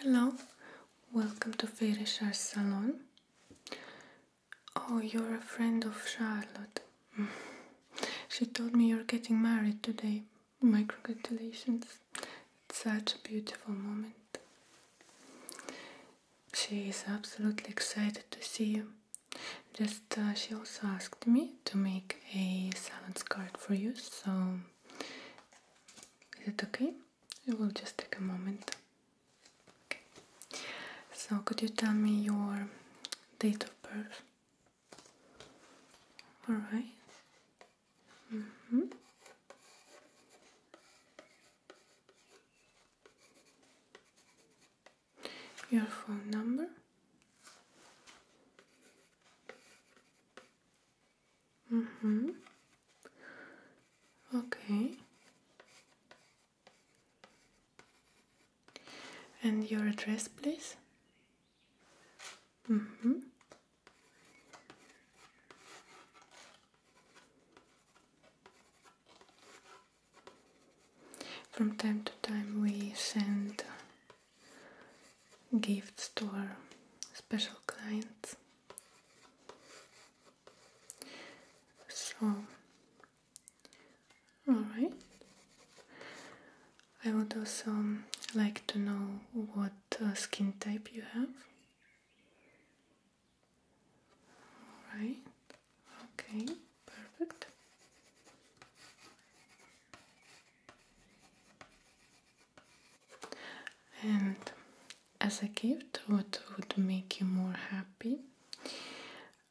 Hello, welcome to Fairy Shah Salon. Oh, you're a friend of Charlotte. she told me you're getting married today, my congratulations. It's such a beautiful moment. She is absolutely excited to see you. Just uh, she also asked me to make a silence card for you, so is it okay? It will just take a moment. Okay. So could you tell me your date of birth? All right. Mm -hmm. Your phone number. Mm hmm. Okay. And your address, please. Mm hmm From time to time we send gifts to our special clients. So, alright. I would also like to know what uh, skin type you have. All right. Okay, perfect. And as a gift, what would make you more happy?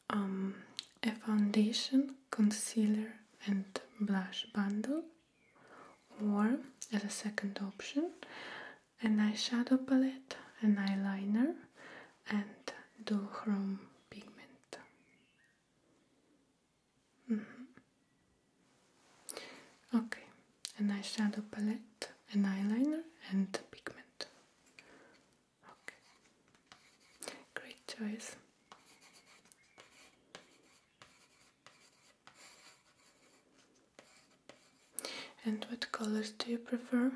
Um, a foundation, concealer, and blush bundle Warm as a second option an eyeshadow palette, an eyeliner and duochrome pigment. Mm -hmm. Okay, an eyeshadow palette, an eyeliner and pigment. Okay, great choice. And what colors do you prefer?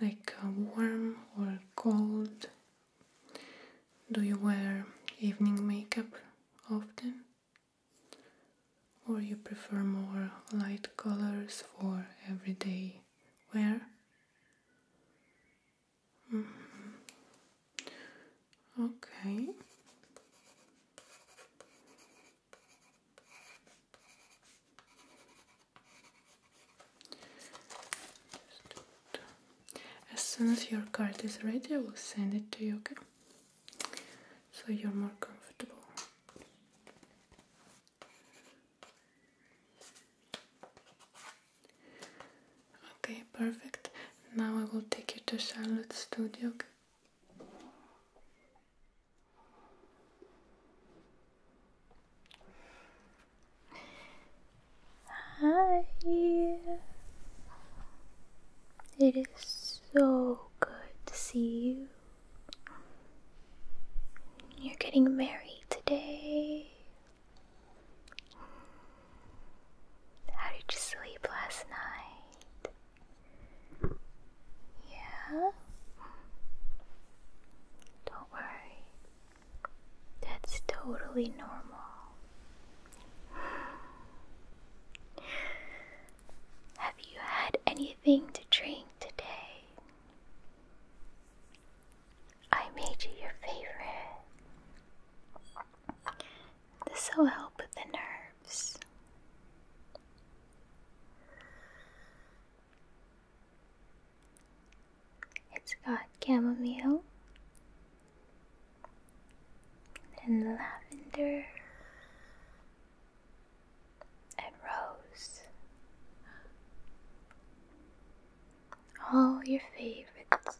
Like uh, warm or cold? Do you wear evening makeup often? Or you prefer more light colors for everyday wear? Okay. As soon as your card is ready, I will send it to you, okay? So you're more comfortable. Okay, perfect. Now I will take you to Charlotte's studio. Hi. It is so good to see you. You're getting married today. How did you sleep last night? Yeah? Don't worry. That's totally normal. Have you had anything to drink today? I made you your favorite. This will help with the nerves. It's got chamomile and lavender and rose. All your favorites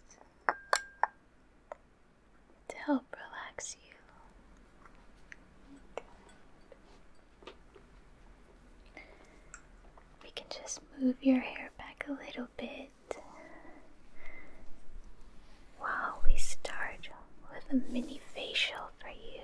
to help relax you. We can just move your hair back a little bit while we start with a mini facial for you.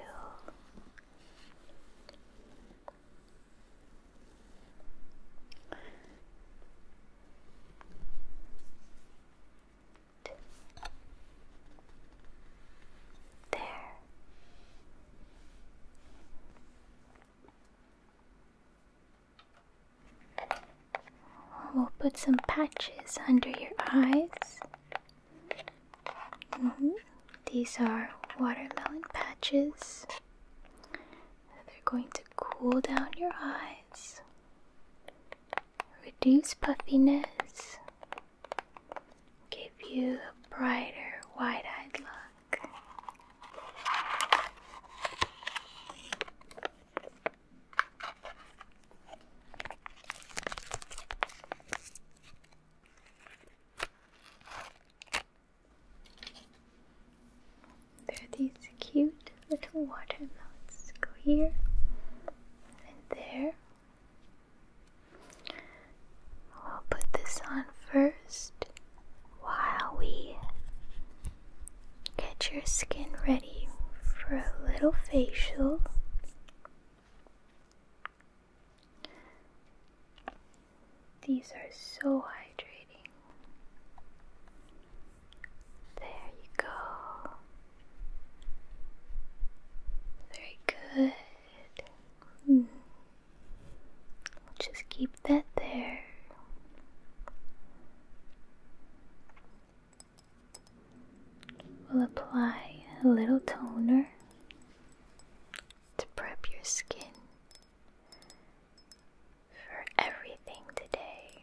There. We'll put some patches under your eyes. Mm-hmm. These are watermelon patches. They're going to cool down your eyes, reduce puffiness, give you a brighter, wide eyed look. There are these cute little watermelons. Go here and there. We'll put this on first while we get your skin ready for a little facial. These are so hydrating. There you go. Very good. Hmm. We'll just keep that there. We'll apply a little toner to prep your skin for everything today.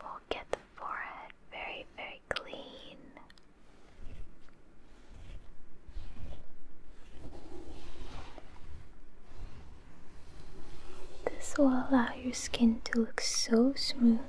We'll get the forehead very, very clean. This will allow your skin to look so smooth.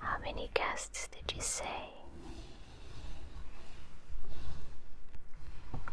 How many guests did you say?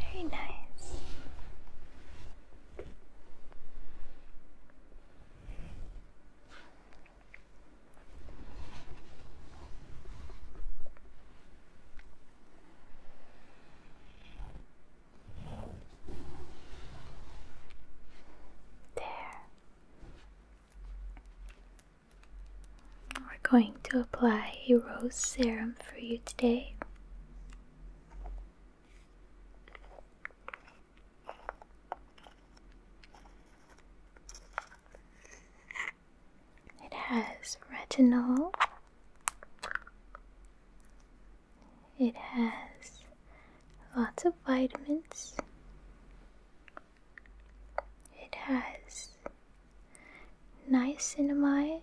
Very nice. There. We're going to apply a rose serum for you today. It has retinol. It has lots of vitamins. It has niacinamide.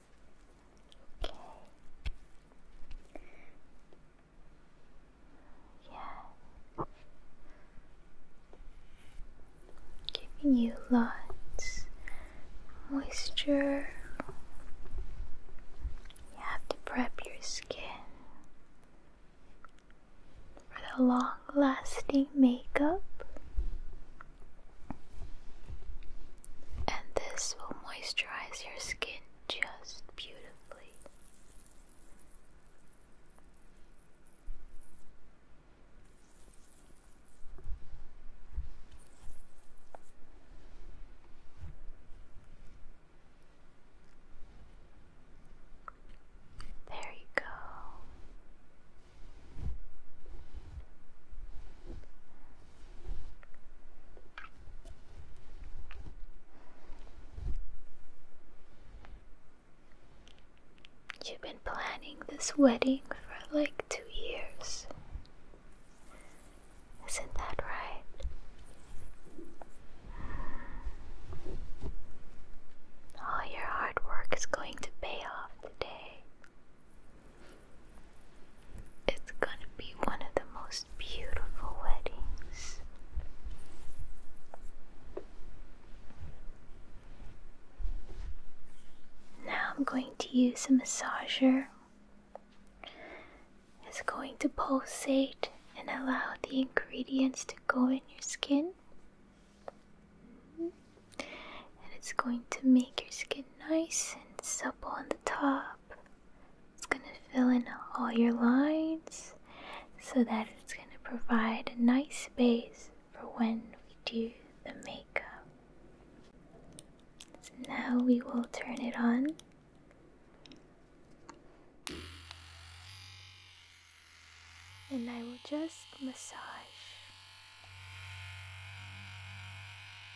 Okay. Yeah. Giving you lots moisture. You have to prep your skin for the long lasting makeup. And this will moisturize your skin just beautifully. There you go. You've been planning this wedding for like two years. Isn't that right? All your hard work is going to pay off today. It's gonna be one of the most beautiful weddings. Now I'm going to use a massager. It's going to pulsate and allow the ingredients to go in your skin. And it's going to make your skin nice and supple on the top it's going to fill in all your lines so that it's going to provide a nice space for when we do the makeup. So now we will turn it on. And I will just massage.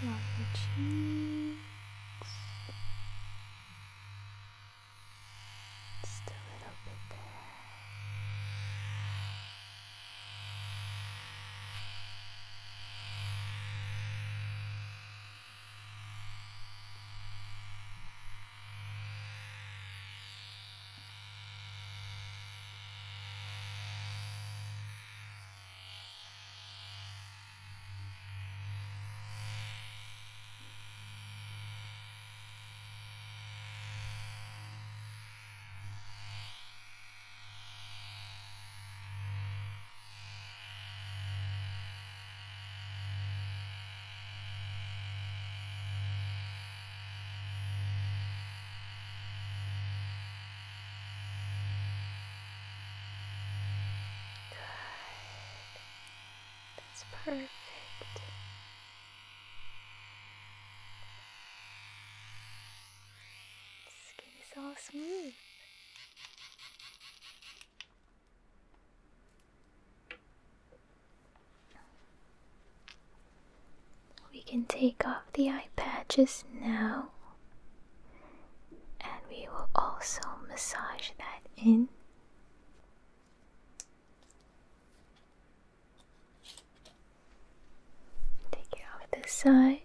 Love your cheeks. Just a little bit there. Good. That's perfect. Skin is all smooth. We can take off the eye patches now, and we will also massage that in. Take it off this side.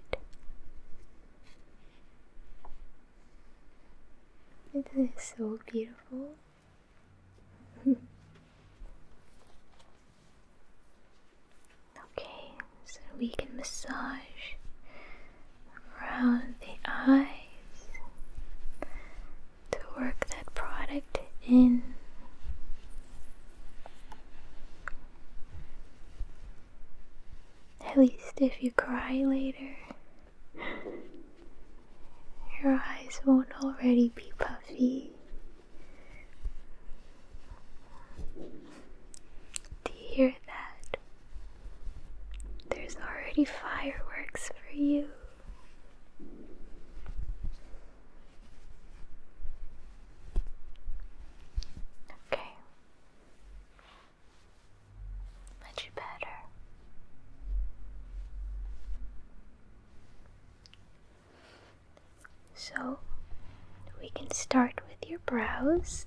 This is so beautiful. okay, so we can massage around the eyes to work that product in. At least if you cry later, your eyes won't already be puffy. Do hear that? There's already fireworks for you. Okay. Much better. So we can start with your brows.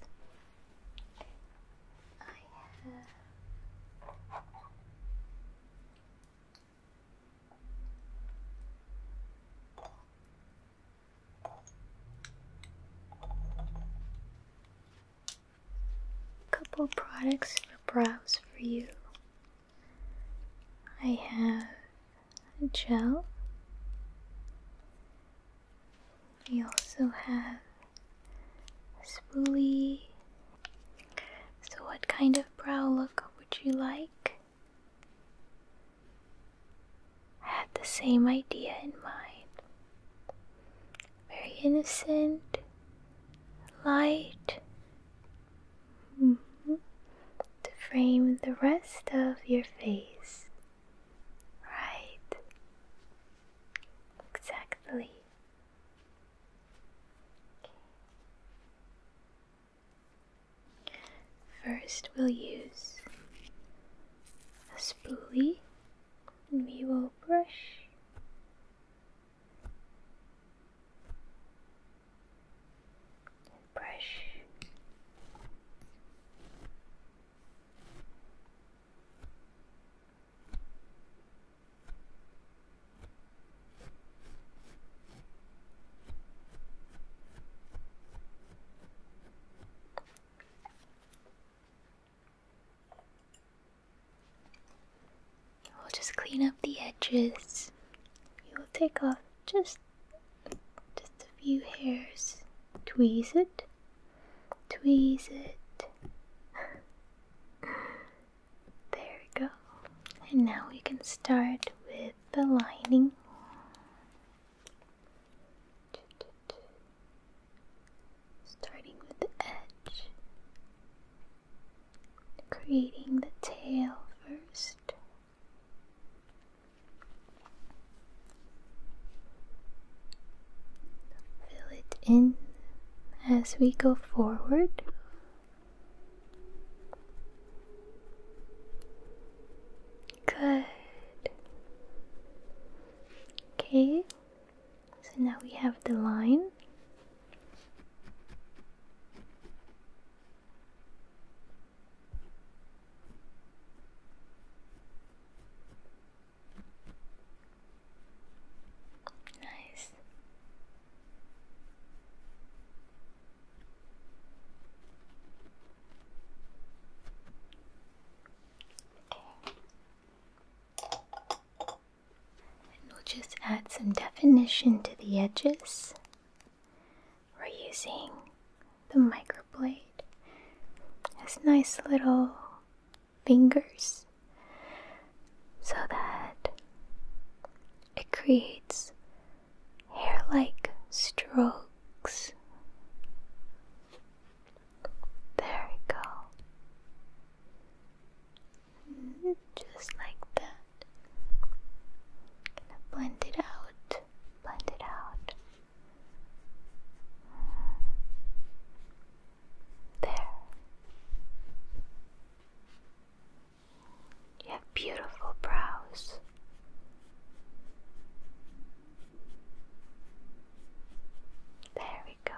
Couple products for brows for you. I have a gel. We also have a spoolie. So, what kind of brow look would you like? I had the same idea in mind. Very innocent, light. Mm-hmm. To frame the rest of your face. Right. Exactly. First, we'll use a spoolie and we will brush brush. We'll just clean up the edges. You will take off just just a few hairs. Tweeze it. Tweeze it. There we go. And now we can start with the lining. Starting with the edge, creating the tail first. Fill it in as we go forward. Good. Okay, so now we have the line. Nice we'll just add some definition to the edges. We're using the microblade. Has nice little fingers so that it creates hair like strokes. There we go. just like that. Gonna blend it out, blend it out. There. You have beautiful brows. There we go.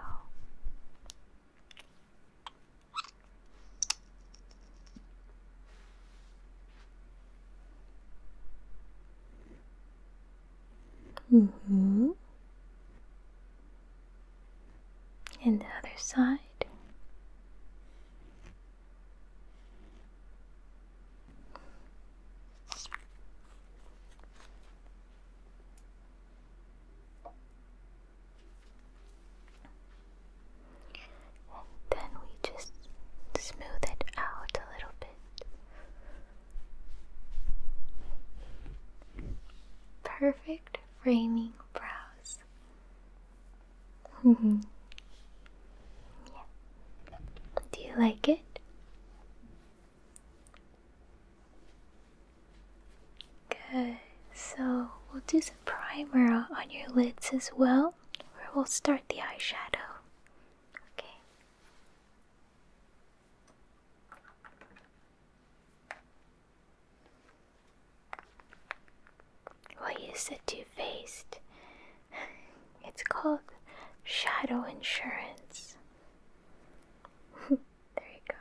Mm hmm. And the other side. And then we just smooth it out a little bit. Perfect framing brows. Do you like it? Good. So we'll do some primer on your lids as well, where we'll start the eyeshadow. Okay. What you said two faced? It's called shadow insurance. there you go.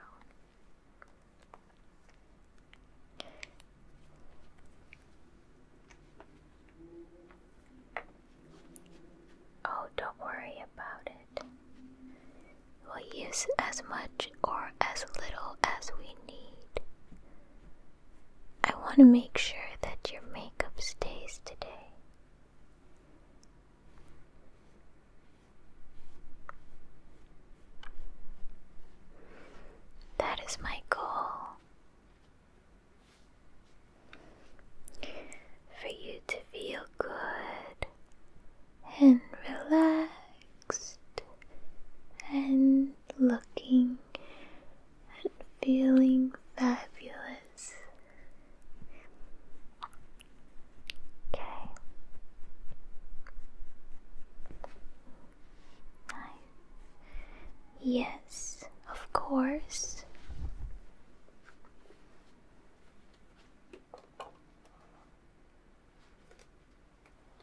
Oh, don't worry about it. We'll use as much or as little as we need. I want to make sure that your makeup stays today. That is my goal. For you to feel good and relax and looking and feeling fabulous. Okay. Nice. Yes, of course.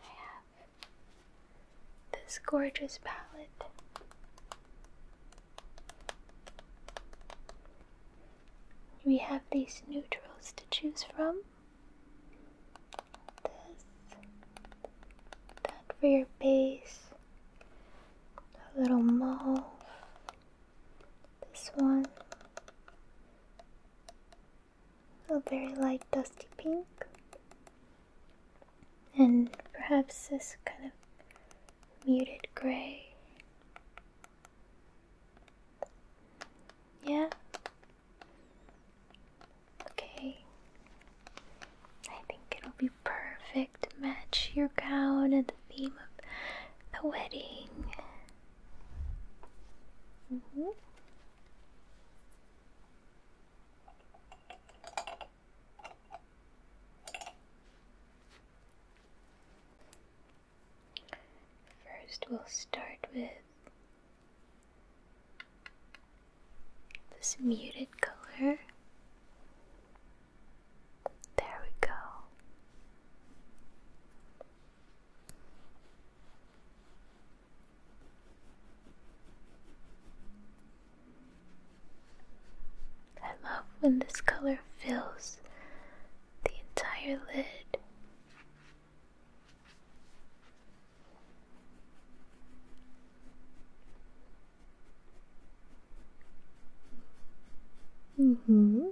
I have this gorgeous palette. We have these neutrals to choose from. This, that for your base, a little mauve, this one, a very light dusty pink, and perhaps this kind of muted gray. Yeah. Okay. I think it'll be perfect match your gown and the theme of the wedding. Mm -hmm. First, we'll start with this muted color. There we go. I love when this color fills the entire lid. Mm hmm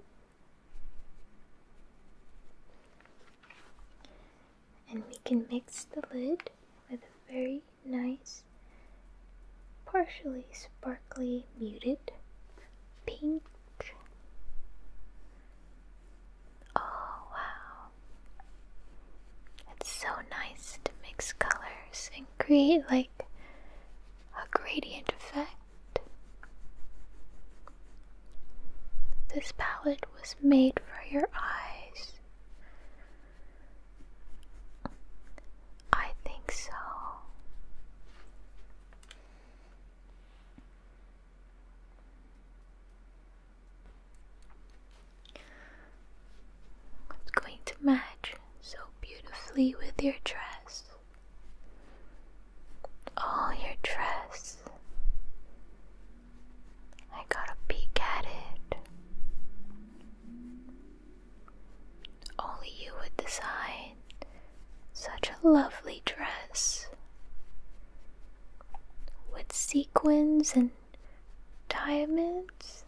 and we can mix the lid with a very nice, partially sparkly, muted pink. Oh wow. It's so nice to mix colors and create like a gradient effect. This palette was made for your eyes. I think so. It's going to match so beautifully with your dress. Oh, your dress. I got a peek at it. Only you would design such a lovely dress with sequins and diamonds.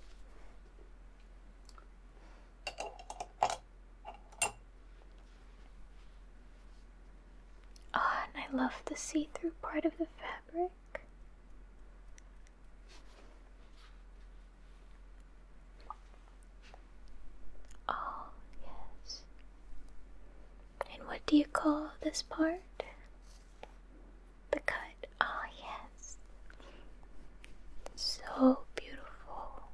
Ah, and I love the see through part of the fabric. Oh, yes. And what do you call this part? The cut. Ah, yes. So beautiful.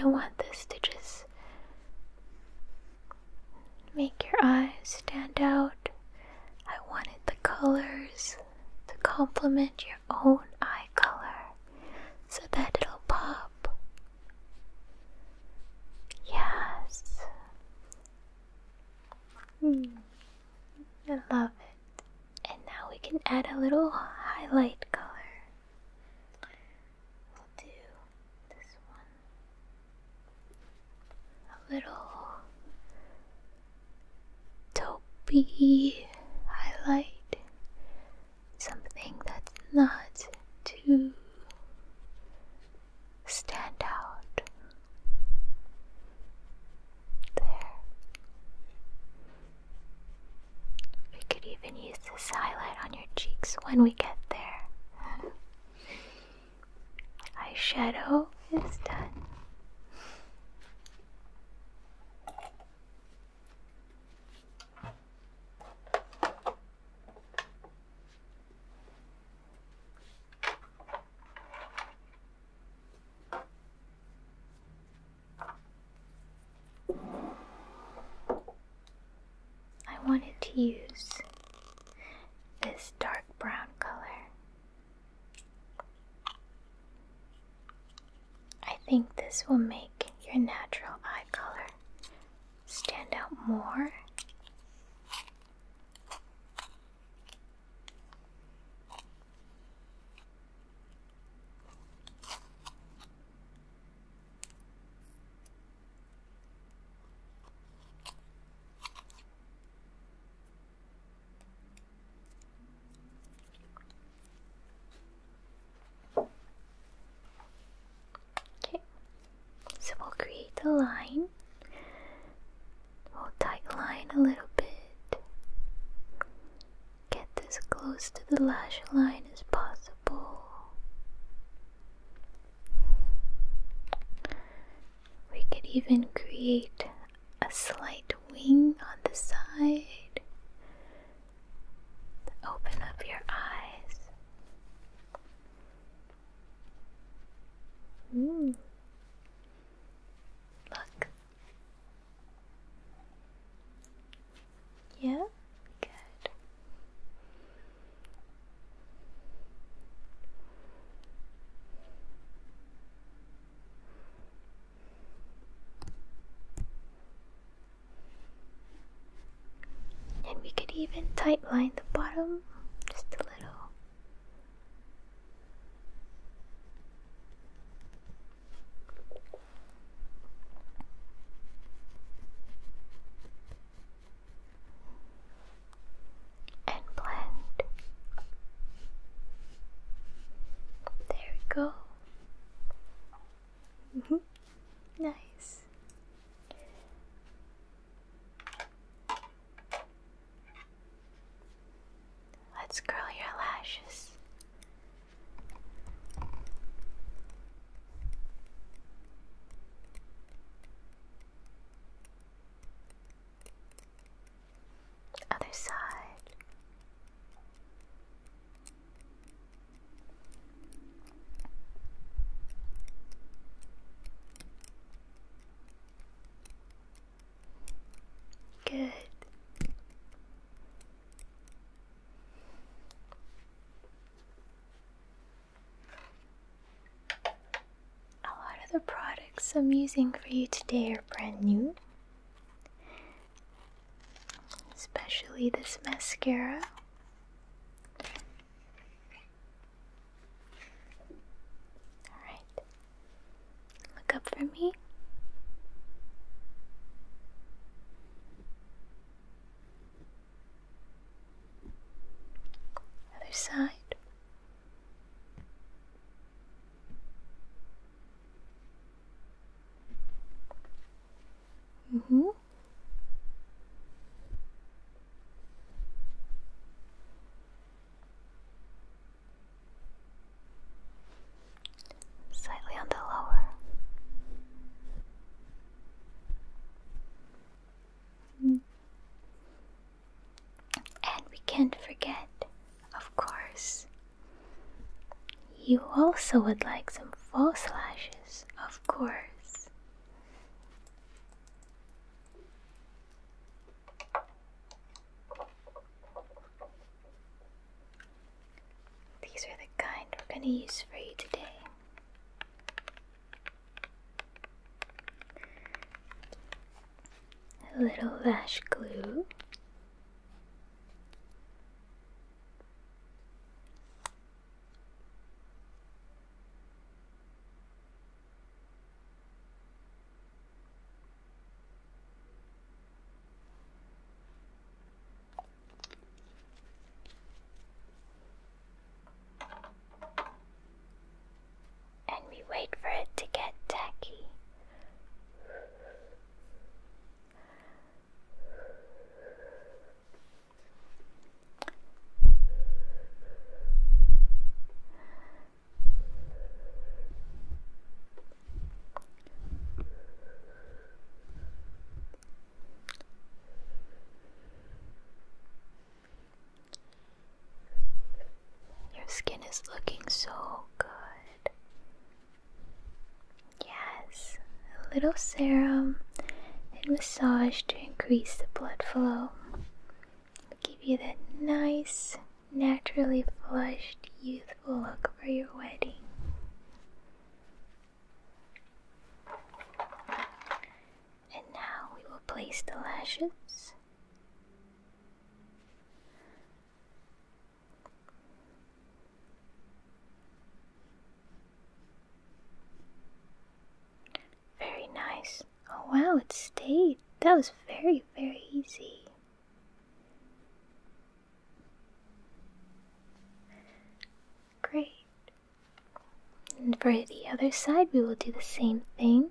I want this to just make your eyes stand out. I wanted the colors to complement your own eye color so that it'll pop. Yes. Hmm. I love it. And now we can add a little highlight color. We'll do this one. A little toppy highlight something that's not too stand out there. We could even use this highlight on your cheeks when we get there. Eyeshadow is done. I wanted to use this dark brown color. I think this will make your natural eye color stand out more. Okay, so we'll create a line. We'll tight a little bit. Get as close to the lash line as possible. We could even create a slight wing on the side Open up your eyes. Mm. Look. Yeah? Good. And we could even tightline the bottom just a little. And blend. There we go. Mm -hmm. Nice. Let's curl your lashes. Other side. Good. A lot of the products I'm using for you today are brand new, Especially this mascara. Alright. Look up for me. Other side. Mm hmm. Slightly on the lower. Mm-hmm. And we can't forget, of course, you also would like some false lashes, of course. These are the kind we're going to use for you today. A little lash glue. And we wait for it to get tacky. Your skin is looking so good. Yes, a little serum and massage to increase the blood flow. It'll give you that nice, naturally flushed, youthful look for your wedding. And now we will place the lashes. Very nice. Oh wow, it stayed. That was very, very easy. Great. And for the other side, we will do the same thing.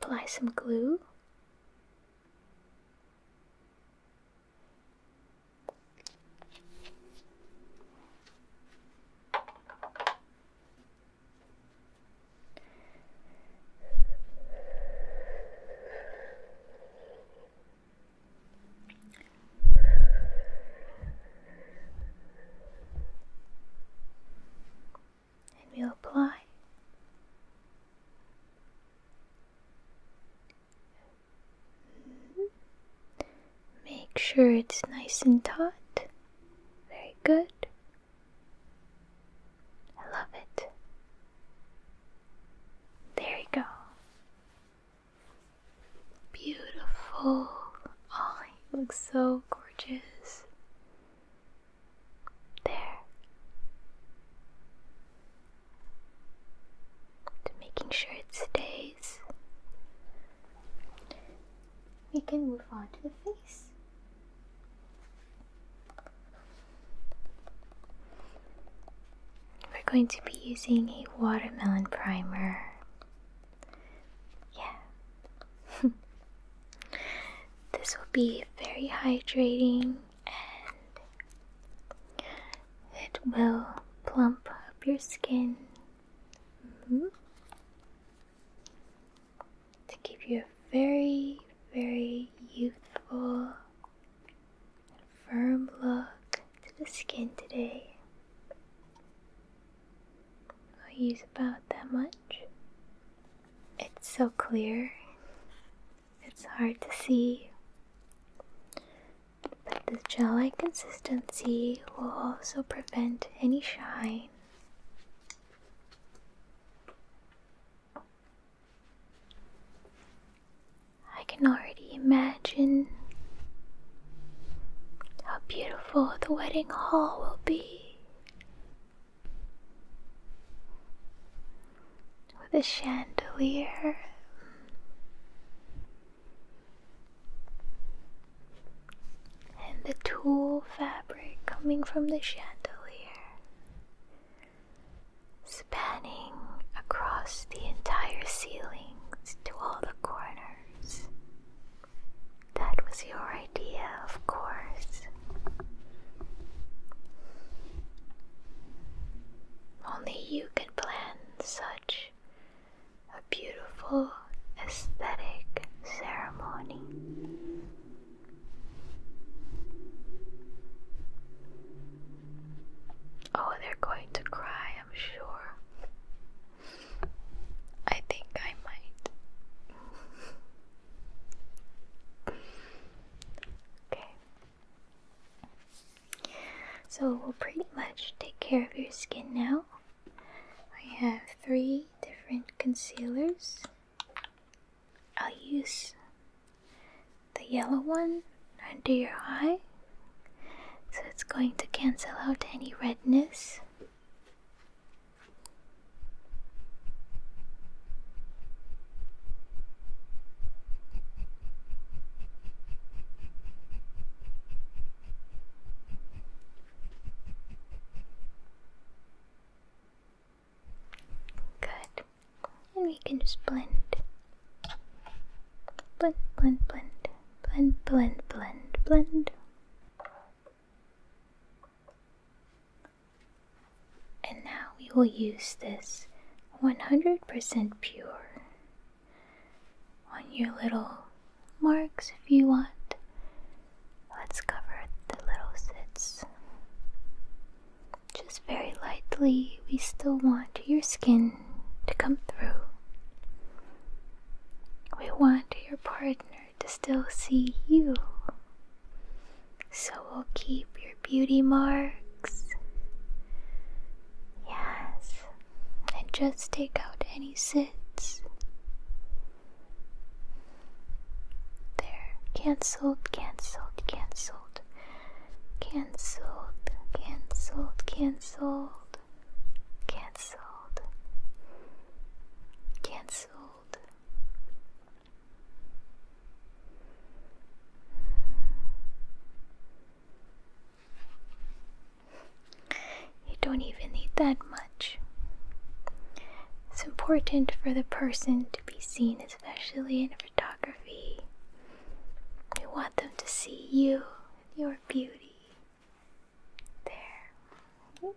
Apply some glue and we apply make sure it's nice and taut very good I love it there you go beautiful all Looks so gorgeous. There. making sure it stays. We can move on to the face. We're going to be using a watermelon primer. Yeah. this will be very hydrating and it will plump up your skin mm-hmm. to give you a very, very youthful firm look to the skin today. I'll use about that much. It's so clear, it's hard to see. But the gel like consistency will also prevent any shine. I can already imagine how beautiful beautiful the wedding hall will be. With a chandelier. And the tulle fabric coming from the chandelier, spanning across the entire ceilings to all the corners. That was your idea, of course. Only you can plan such a beautiful aesthetic ceremony. Oh, they're going to cry, I'm sure. I think I might. okay. So we'll pretty much take care of your skin now. I have three different concealers. I'll use the yellow one under your eye. So it's going to cancel out any redness Good. And we can just blend. Blend, blend, blend, blend, blend, blend, blend. And now we will use this 100% pure on your little marks if you want. Let's cover the little zits. Just very lightly, we still want your skin to come through. We want your partner to still see you. So we'll keep your beauty marks. Yes. And just take out any sits. There. Cancelled, cancelled, cancelled. Cancelled, cancelled, cancelled cancelled, cancelled. You don't even need that much. It's important for the person to be seen, especially in photography. We want them to see you, your beauty, there.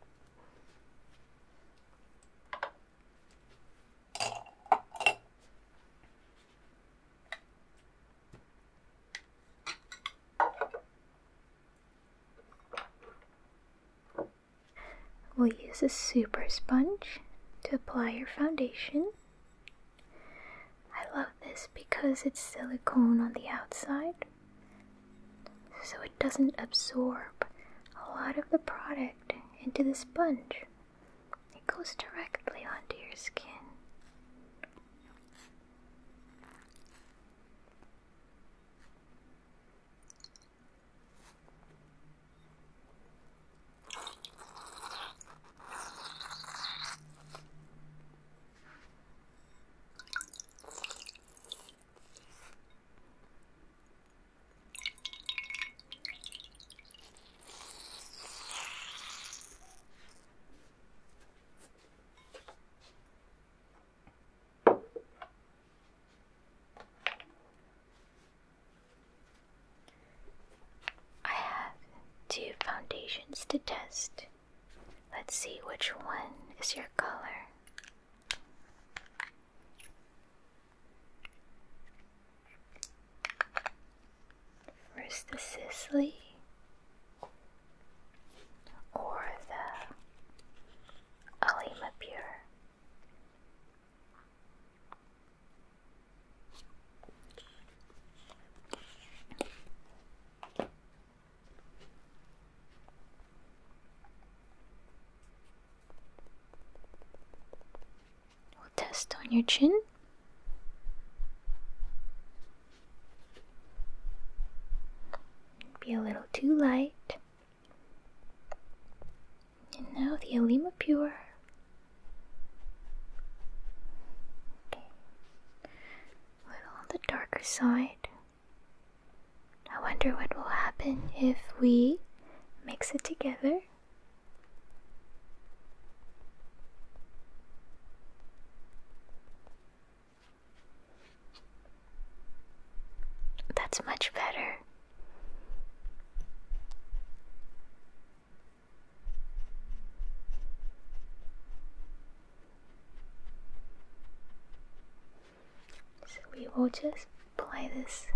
We'll use a super sponge to apply your foundation. I love this because it's silicone on the outside so it doesn't absorb a lot of the product into the sponge. It goes directly onto your skin. I have two foundations to test. Let's see which one is your color. First the Sicily or the Alima Pure test on your chin. Be a little too light. And now the Alima Pure. Okay. A little on the darker side. I wonder what will happen if we mix it together. That's much better. So we will just play this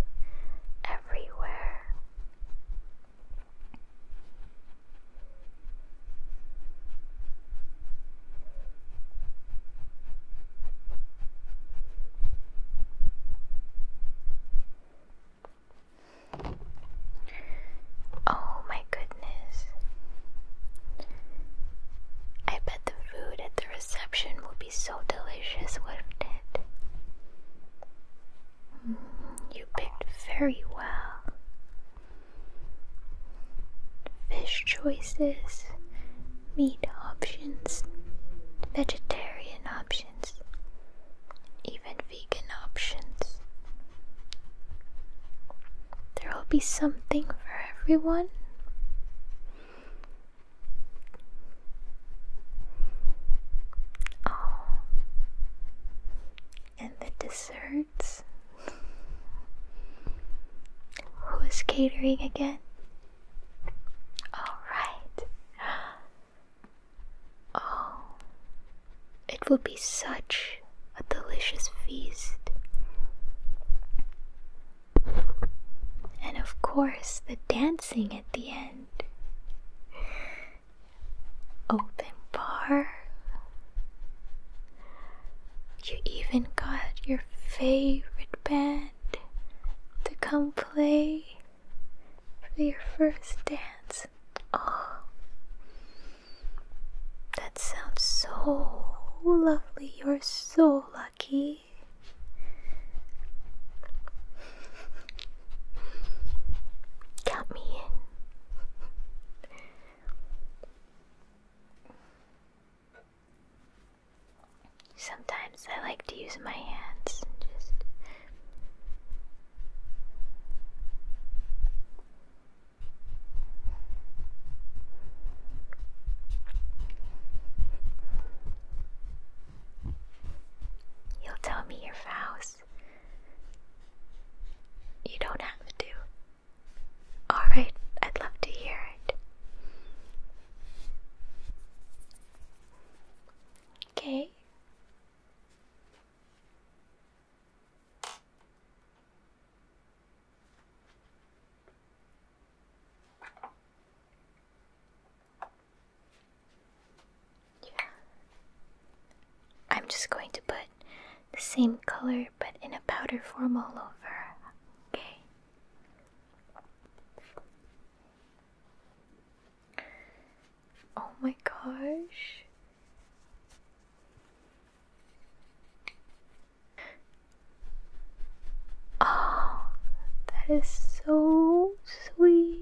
everywhere. Oh, my goodness. I bet the food at the reception will be so delicious, wouldn't it? Mm, you picked very well. Fish choices, meat options, vegetarian options, even vegan options. There will be something for everyone. Oh, and the desserts. Who's catering again? Alright. Oh, it will be such a delicious feast. And of course, the dancing at the end. Open bar. You even got your favorite band to come play for your first dance. Oh, that sounds so lovely. You're so lucky. Count me in. Sometimes I like to use my hands just You'll tell me your vows. You don't have to. Alright, I'd love to hear it. Okay. Yeah. I'm just going to put the same color but in a powder form all over. Okay. Oh my gosh. Oh, that is so sweet.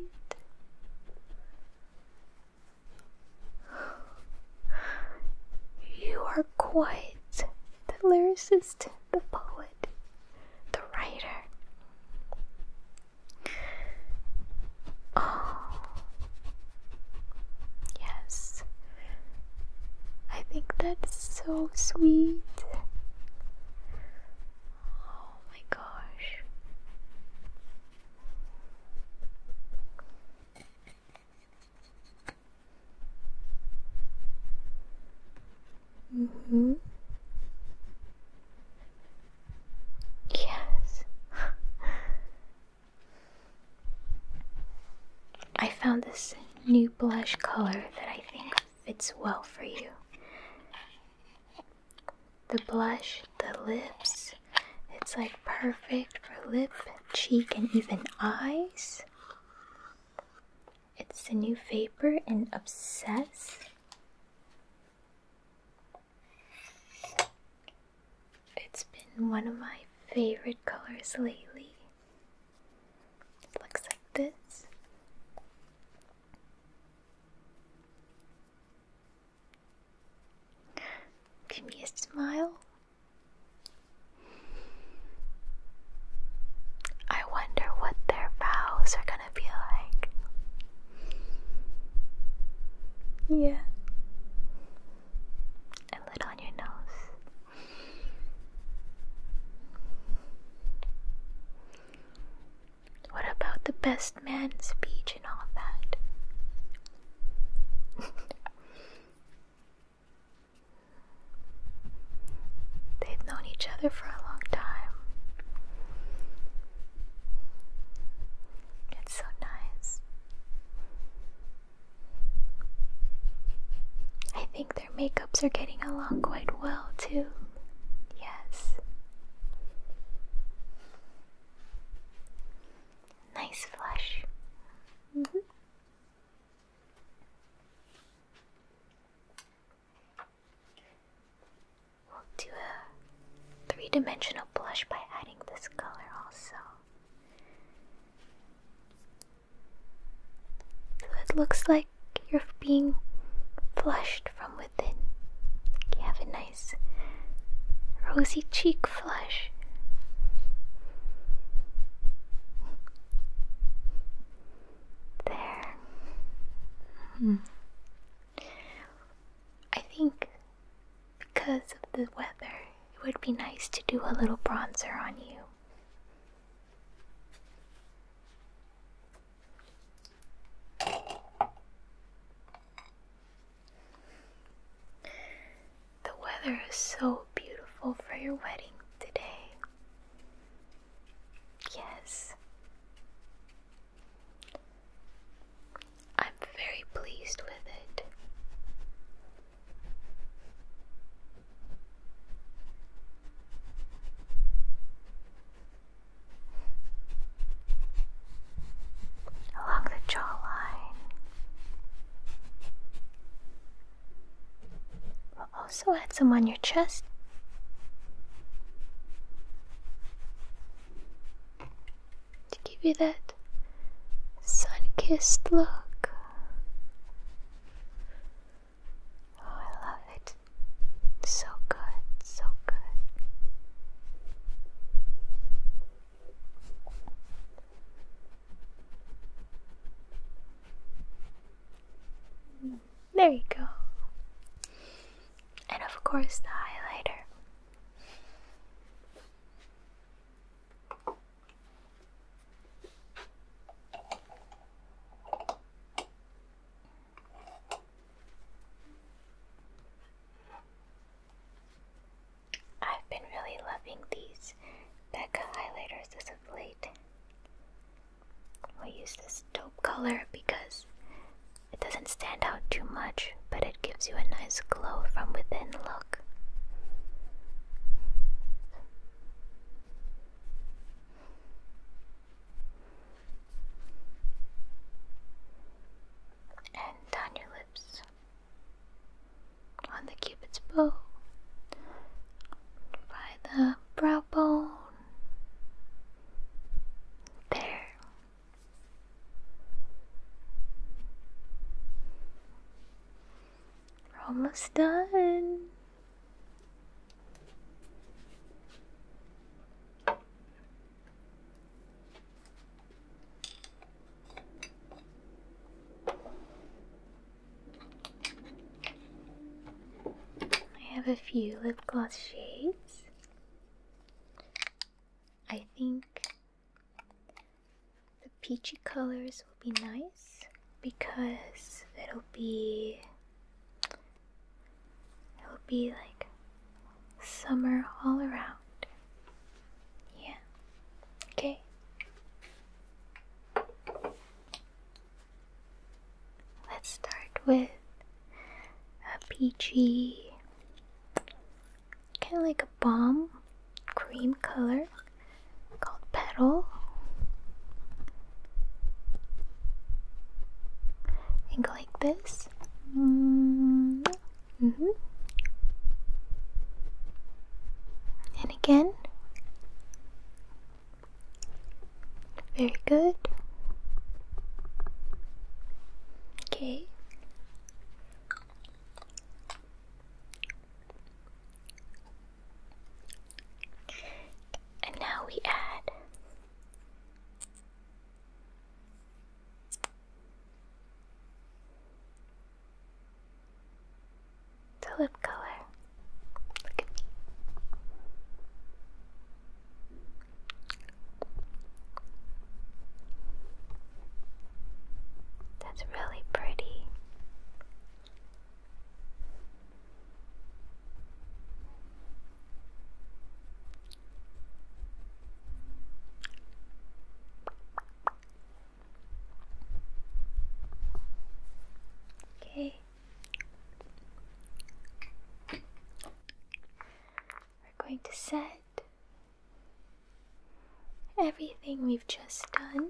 You are quite the lyricist, the poet, the writer. Oh, yes, I think that's so sweet. Oh my gosh. Mm hmm Yes. I found this new blush color that I think fits well for you. The blush, the lips, it's like perfect for lip, cheek, and even eyes. It's the new vapor and Obsess. It's been one of my favorite colors lately. It looks like this. Give me a smile. I wonder what their vows are gonna be like. Yeah. And little on your nose. What about the best man speech and all that? They've known each other for a long time. It's so nice. I think their makeups are getting along quite well, too. Yes. Nice flush. Mm-hmm. We'll do a three dimensional blush by adding this color also. So it looks like you're being flushed from within. You have a nice rosy cheek flush. There. Hmm. I think because of the weather, it would be nice to do a little bronzer on you. The weather is so beautiful for your wedding today. Yes. I'm very pleased with it along the jawline. We'll also add some on your chest. To give you that sun kissed look. Oh, I love it. So good, so good. There you go. And of course, the highlighter. I've been really loving these Becca highlighters as of late. I use this dope color because it doesn't stand out too much, but it gives you a nice glow from within look and down your lips on the cupid's bow by the brow bone there we're almost done. I have a few lip gloss shades. I think the peachy colors will be nice because it'll be it'll be like summer all around. Yeah. Okay. Let's start with a peachy kind of like a bomb cream color called Petal. And go like this. Mm -hmm. And again. Very good. Okay. And now we add the lip color. Look at me. That's really pretty. Okay. We're going to set everything we've just done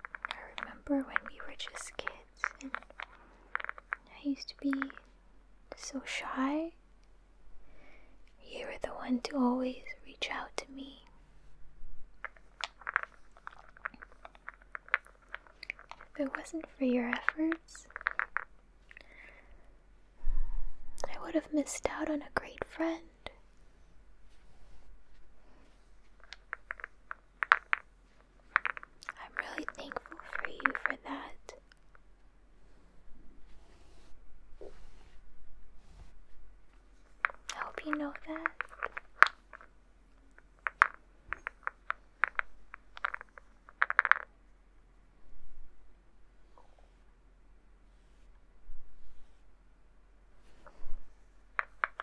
I remember when we were just kids and I used to be so shy. You were the one to always reach out to me. If it wasn't for your efforts, I would have missed out on a great friend. I'm really thankful for you for that. I hope you know that.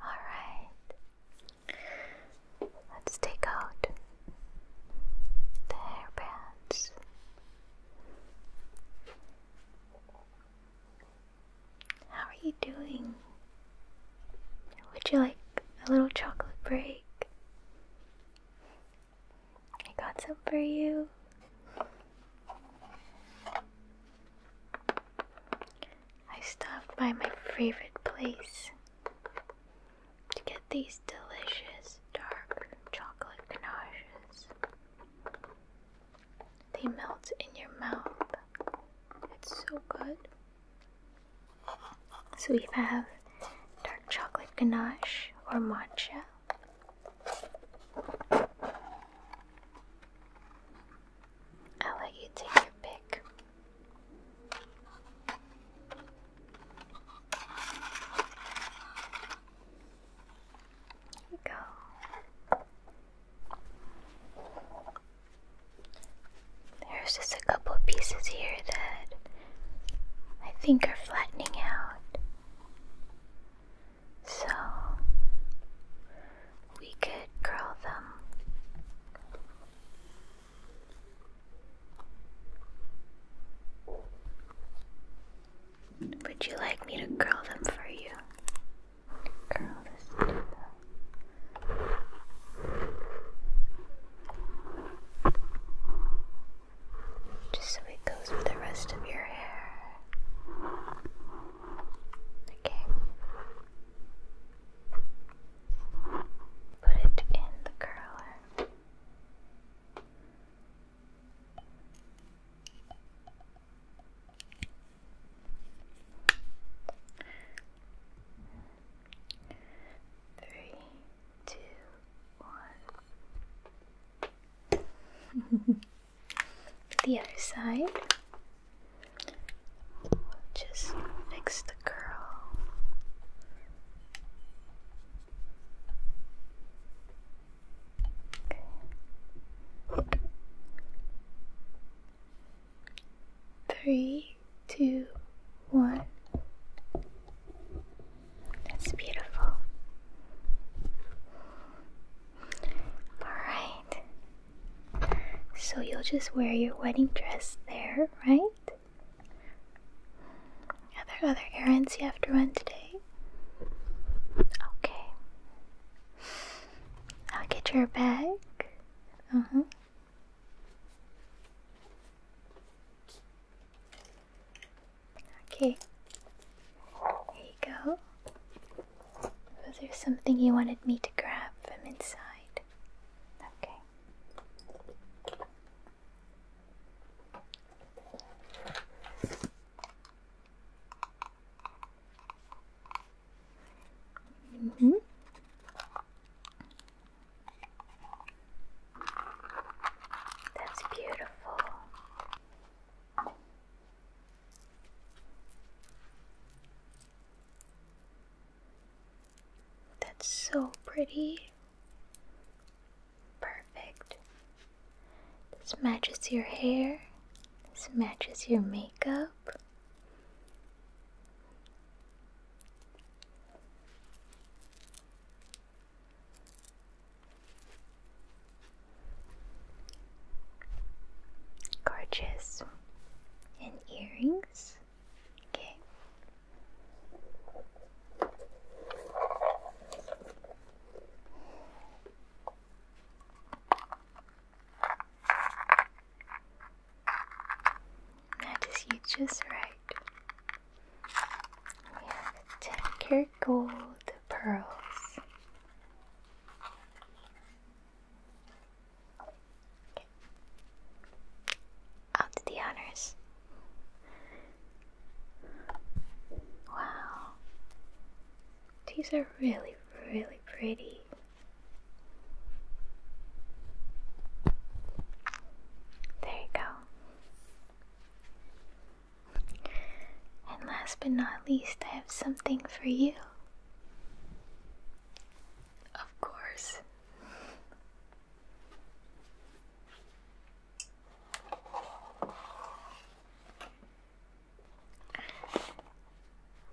Alright, let's take out the hairbands. How are you doing? Would you like a little chocolate break? I got some for you. I stopped by my favorite place to get these delicious dark chocolate ganaches. They melt in your mouth. It's so good. So we have dark chocolate ganache or matcha. i let you take your pick. Here we go. There's just a couple of pieces here that I think are flattening out. So we could curl them. Would you like me to curl them for you? just so it goes with the rest of your hair. Okay. Put it in the curler. Three, two, the other side. just fix the curl. Three, two, one. That's beautiful. Alright. So you'll just wear your wedding dress there, right? Are there other errands you have to run today? Okay. I'll get your bag. Uh huh. Okay. There you go. Was there something you wanted me to grab from inside? Okay. Mm -hmm. That's beautiful. That's so pretty. Perfect. This matches your hair. This matches your makeup. Gorgeous. And earrings. That is you just right. We have Decker Gold Pearls. Out to the honors. Wow. These are really, really pretty. There you go. And last but not least, I have something for you. Of course.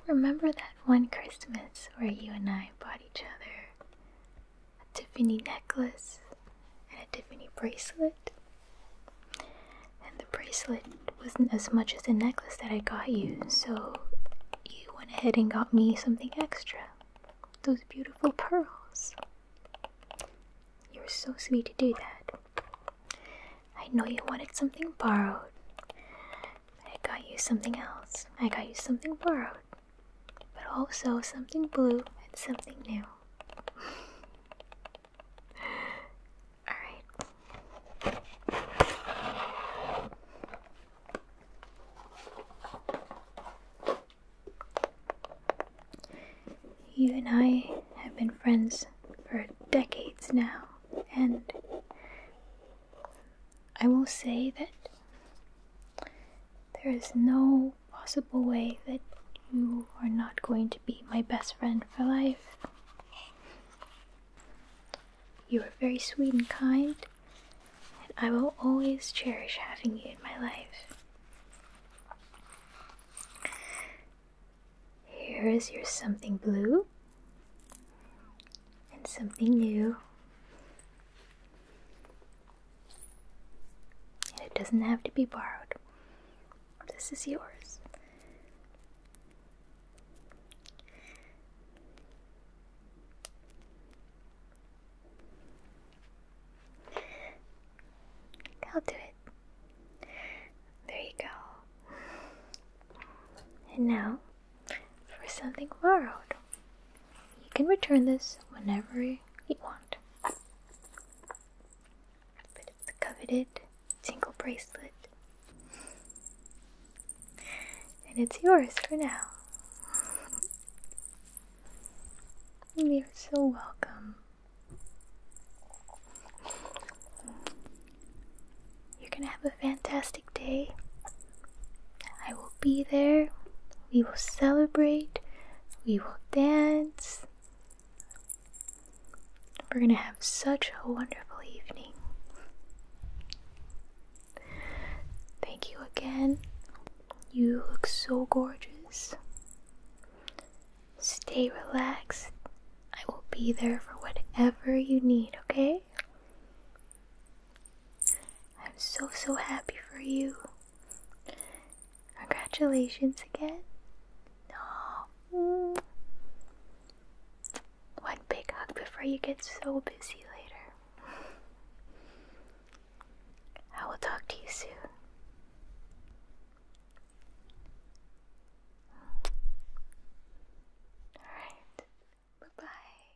Remember that one Christmas where you and I bought each other a Tiffany necklace, and a Tiffany bracelet. And the bracelet wasn't as much as the necklace that I got you, so you went ahead and got me something extra. Those beautiful pearls. You were so sweet to do that. I know you wanted something borrowed. I got you something else. I got you something borrowed but also something blue and something new. Alright. You and I have been friends for decades now, and I will say that there is no possible way that you are not going to be my best friend for life. You are very sweet and kind, and I will always cherish having you in my life. Here is your something blue and something new it doesn't have to be borrowed. This is yours. I'll do it. There you go. And now for something borrowed. You can return this whenever you want. But it's the coveted Tinkle bracelet. And it's yours for now. You're so welcome. You're gonna have a fantastic day. I will be there. We will celebrate. We will dance. We're going to have such a wonderful evening. Thank you again. You look so gorgeous. Stay relaxed. I will be there for whatever you need, okay? I'm so, so happy for you. Congratulations again. No. One big hug before you get so busy later. I will talk to you soon. Alright, bye bye.